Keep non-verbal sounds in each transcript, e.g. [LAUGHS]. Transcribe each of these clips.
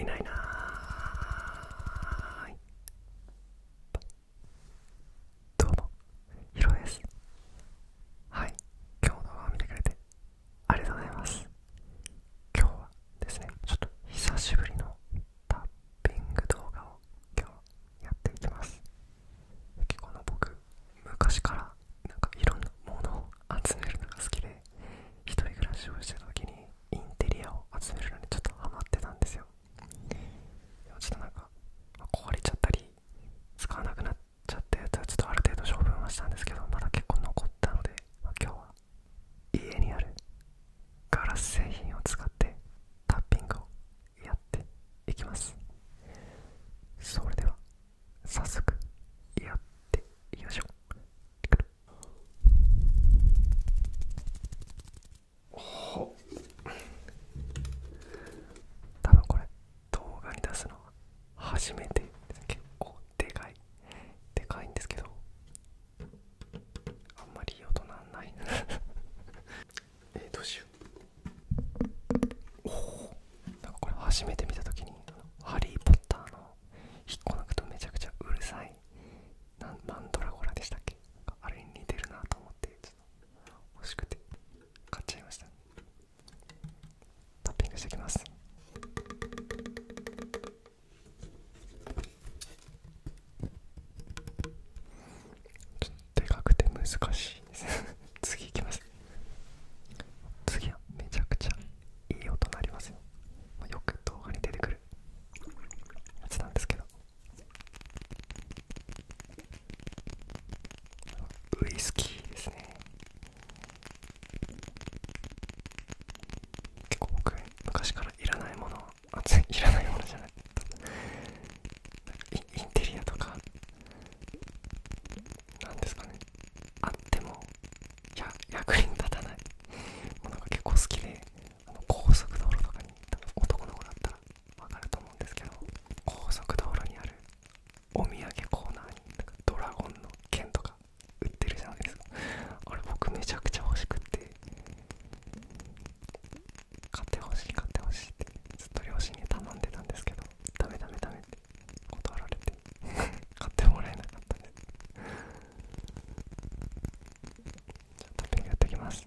いないなーどうもひろえですはい今日の動画を見てくれてありがとうございます今日はですねちょっと久しぶりのタッピング動画を今日やっていきます結構の僕昔からなんかいろんなものを集めるのが好きで一人暮らしをしてた時にインテリアを集めるのにちょっとハマってたんですよでもちょっとなんか壊れちゃったり使わなくなっちょっとやつはちょっとある程度処分はしたんですけどまだ結構残ったので、ま今日は家にあるガラス製品を使ってタッピングをやっていきますそれでは早速やっていきましょう多分これ動画に出すのは初めてです結構でかいでかいんですけどあんまりいい音なんない [LAUGHS] えどうしようおおなんかこれ初めて見た時に「ハリー・ポッター」の引っこ抜くとめちゃくちゃうるさいなマンドラゴラでしたっけあれに似てるなと思ってちょっと欲しくて買っちゃいましたタッピングしていきますちょっとでかくて難しいです [LAUGHS] 次いきます次はめちゃくちゃいい音鳴りますよよく動画に出てくるやつなんですけどウイスキーですね結構僕昔からいらないものあついらないものじゃないインテリアとかなんですかねあってもや役に立たないものが結構好きであの高速道路とかに行多分男の子だったらわかると思うんですけど高速道路にあるお土産コーナーにドラゴンの剣とか売ってるじゃないですかあれ僕めちゃくちゃ欲しくて買ってほしい買ってほしいってずっと両親に頼んでたんですけどダメダメダメって断られて [LAUGHS] 買ってもらえなかったんですじゃあトッピンってきます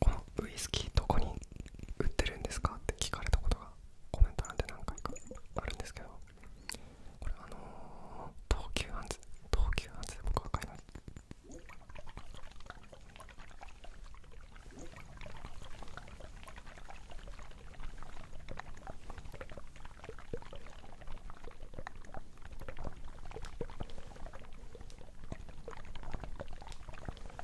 このウイスキーどこに売ってるんですかって聞かれたことがコメント欄で何回かあるんですけどこれあの東急アンズ東急アンズで僕は買います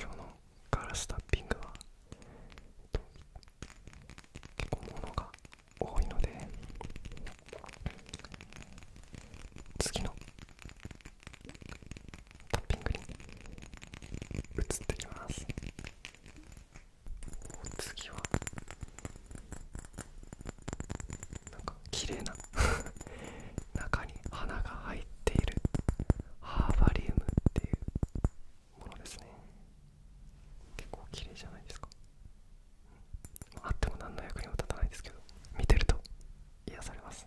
今日のガラスタッピングは、結構物が多いので次のタッピングに移ってきます。次はなんか綺麗な [LAUGHS] 中に花が入っているハーバリウムっていうものですね結構綺麗じゃないですかあっても何の役にも立たないですけど見てると癒されます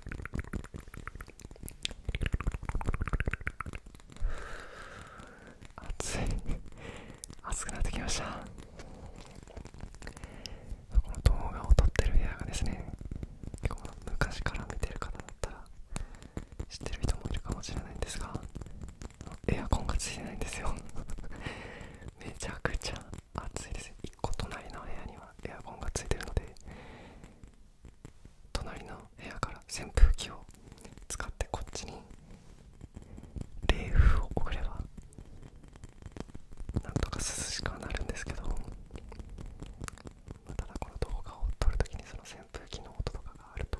暑い暑くなってきましたこの動画を撮ってる部屋がですね結構昔から見てる方だったら知ってる人もいるかもしれないんですがエアコンがついてないんですよ [LAUGHS] めちゃくちゃ暑いです1個隣の部屋にはエアコンがついてるので隣の部屋から扇風機を使ってこっちに冷風を送ればなんとか涼しくはなるんですけどただこの動画を撮るときにその扇風機の音とかがあると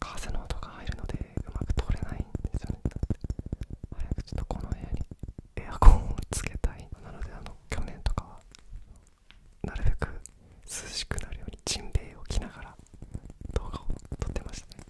風の音が入るのでうまく通れないんですよね早くちょっとこの部屋にエアコンをつけたいなのであの去年とかはなるべく涼しくなるようにジンベエを着ながら動画を撮ってましたね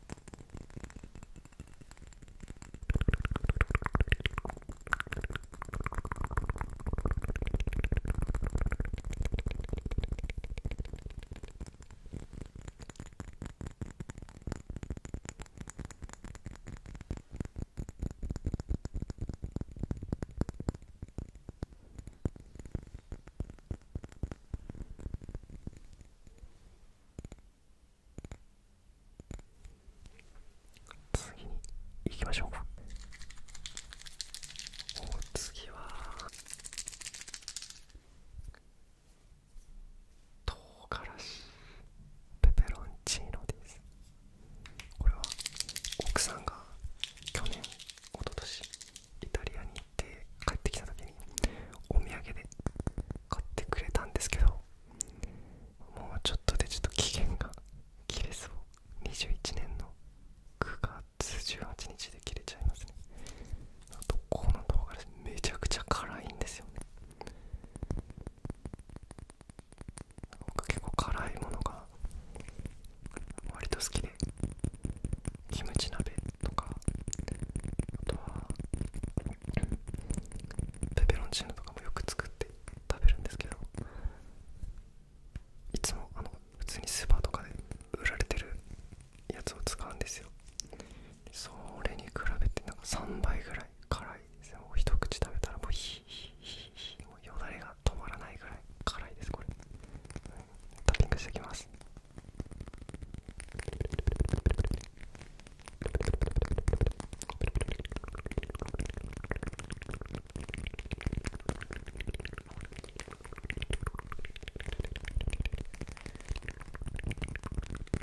次に行きましょうか次は唐辛子ペペロンチーノですこれは奥さんが去年一昨年イタリアに行って帰ってきた時にお土産で買ってくれたんですけどもうちょっとでちょっと期限が切れそう21年の9月18日で切れちゃいますねあとこの動画めちゃくちゃ辛いんですよね僕結構辛いものが割と好きでキムチ鍋とかあとはペペロンチーノとかもよく作って食べるんですけどいつもあの普通にスーパーとかで売られてるやつを使うんですよそれに比べてなんか3倍ぐらい辛いですねもう一口食べたらもうヒヒヒヒもうよだれが止まらないぐらい辛いですこれ、うん、トッピングしていきます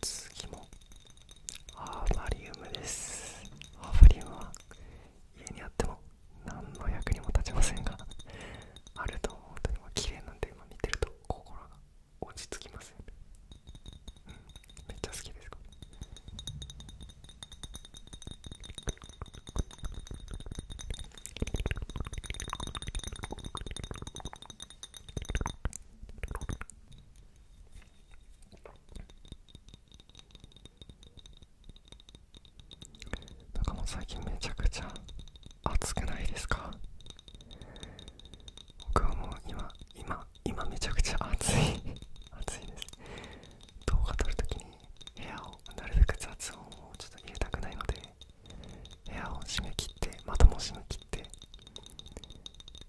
次もハーバリウムですハーバリウムは家にあっても何の役にも立ちませんがあると思うと今綺麗なんで今見てると心が落ち着きますよねうんめっちゃ好きですこれなんかもう最近めちゃくちゃ暑くないですか僕はもう今今今めちゃくちゃ暑い [LAUGHS] 暑いです動画撮るときに部屋をなるべく雑音をちょっと入れたくないので部屋を閉め切ってまたも閉め切って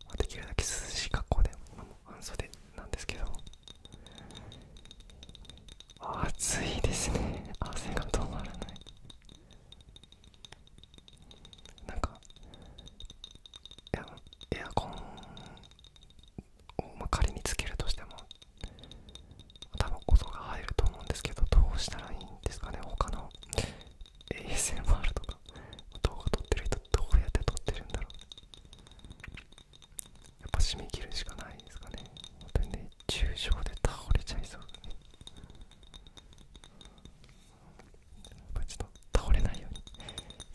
まできるだけ涼しい格好で、まあ、半袖なんですけど暑いですね汗が止まらないなんかエアコンを、ま仮につけるとしても多分音が入ると思うんですけどどうしたらいいんですかね他の ASMR とか動画撮ってる人どうやって撮ってるんだろうやっぱ締め切るしかないですかね本当にね重症で倒れちゃいそうだねやっぱちょっと倒れないように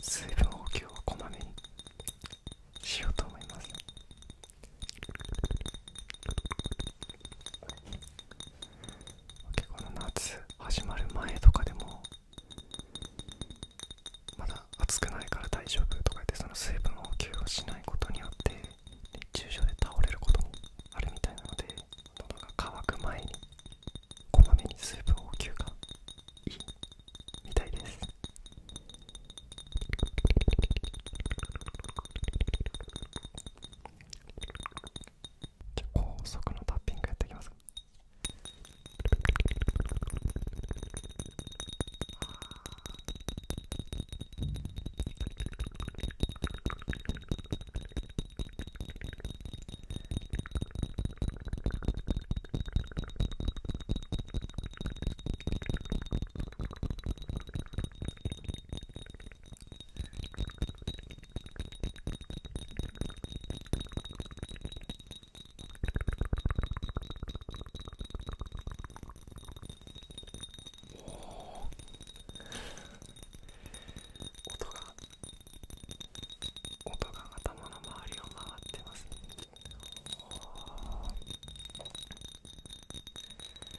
水分補給をこまめにしようと思います結構夏始まる前とかでもまだ暑くないから大丈夫とか言ってその水分補給をしないことによって熱中症で倒れることもあるみたいなので喉が渇く前にこまめに水分補給がいいみたいですじゃ高速のタッピングやっていきます音が音が頭の周りを回ってますねお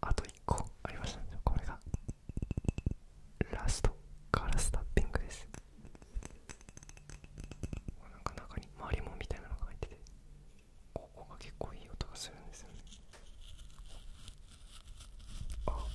あと1個ありましたねこれがラストガラスタッピングですなんか中にマリモみたいなのが入っててここが結構いい音がするんですよねああ [LAUGHS]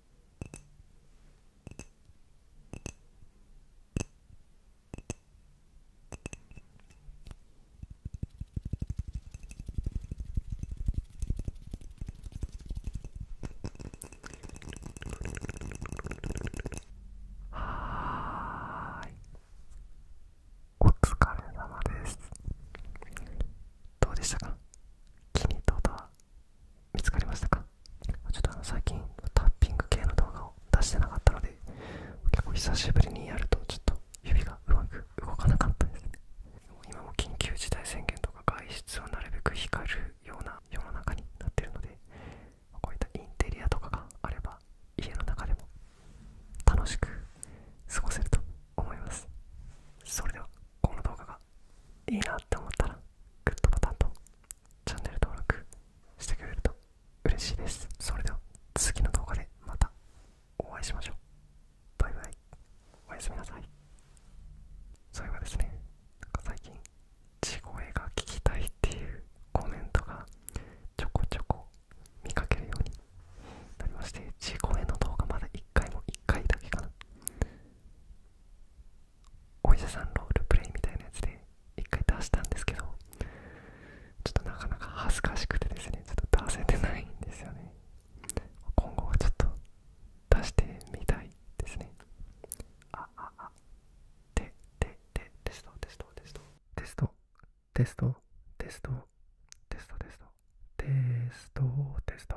はーいお疲れ様ですどうでしたか気に入っとは見つかりましたかちょっとあの最近タッピング系の動画を出してなかったので結構久しぶりにやるとちょっと指がうまく動かなかったですね今も緊急事態宣言とか外出をなるべく光るような世の中になってるのでこういったインテリアとかがあれば家の中でも楽しく過ごせると思いますそれではこの動画がいいなって思ったらグッドボタンとチャンネル登録してくれると嬉しいですそれでは次の動画でまたお会いしましょうバイバイおやすみなさいそういえばですねなんか最近地声が聞きたいっていうコメントがちょこちょこ見かけるようになりまして地声の動画まだ1回も1回だけかなお医者さんロールプレイみたいなやつで一回出したんですけどちょっとなかなか恥ずかしくてですねちょっと出せてないんですよね今後はちょっと出してみたいですねあああてててテストテストテストテストテストテストテストテストテストテスト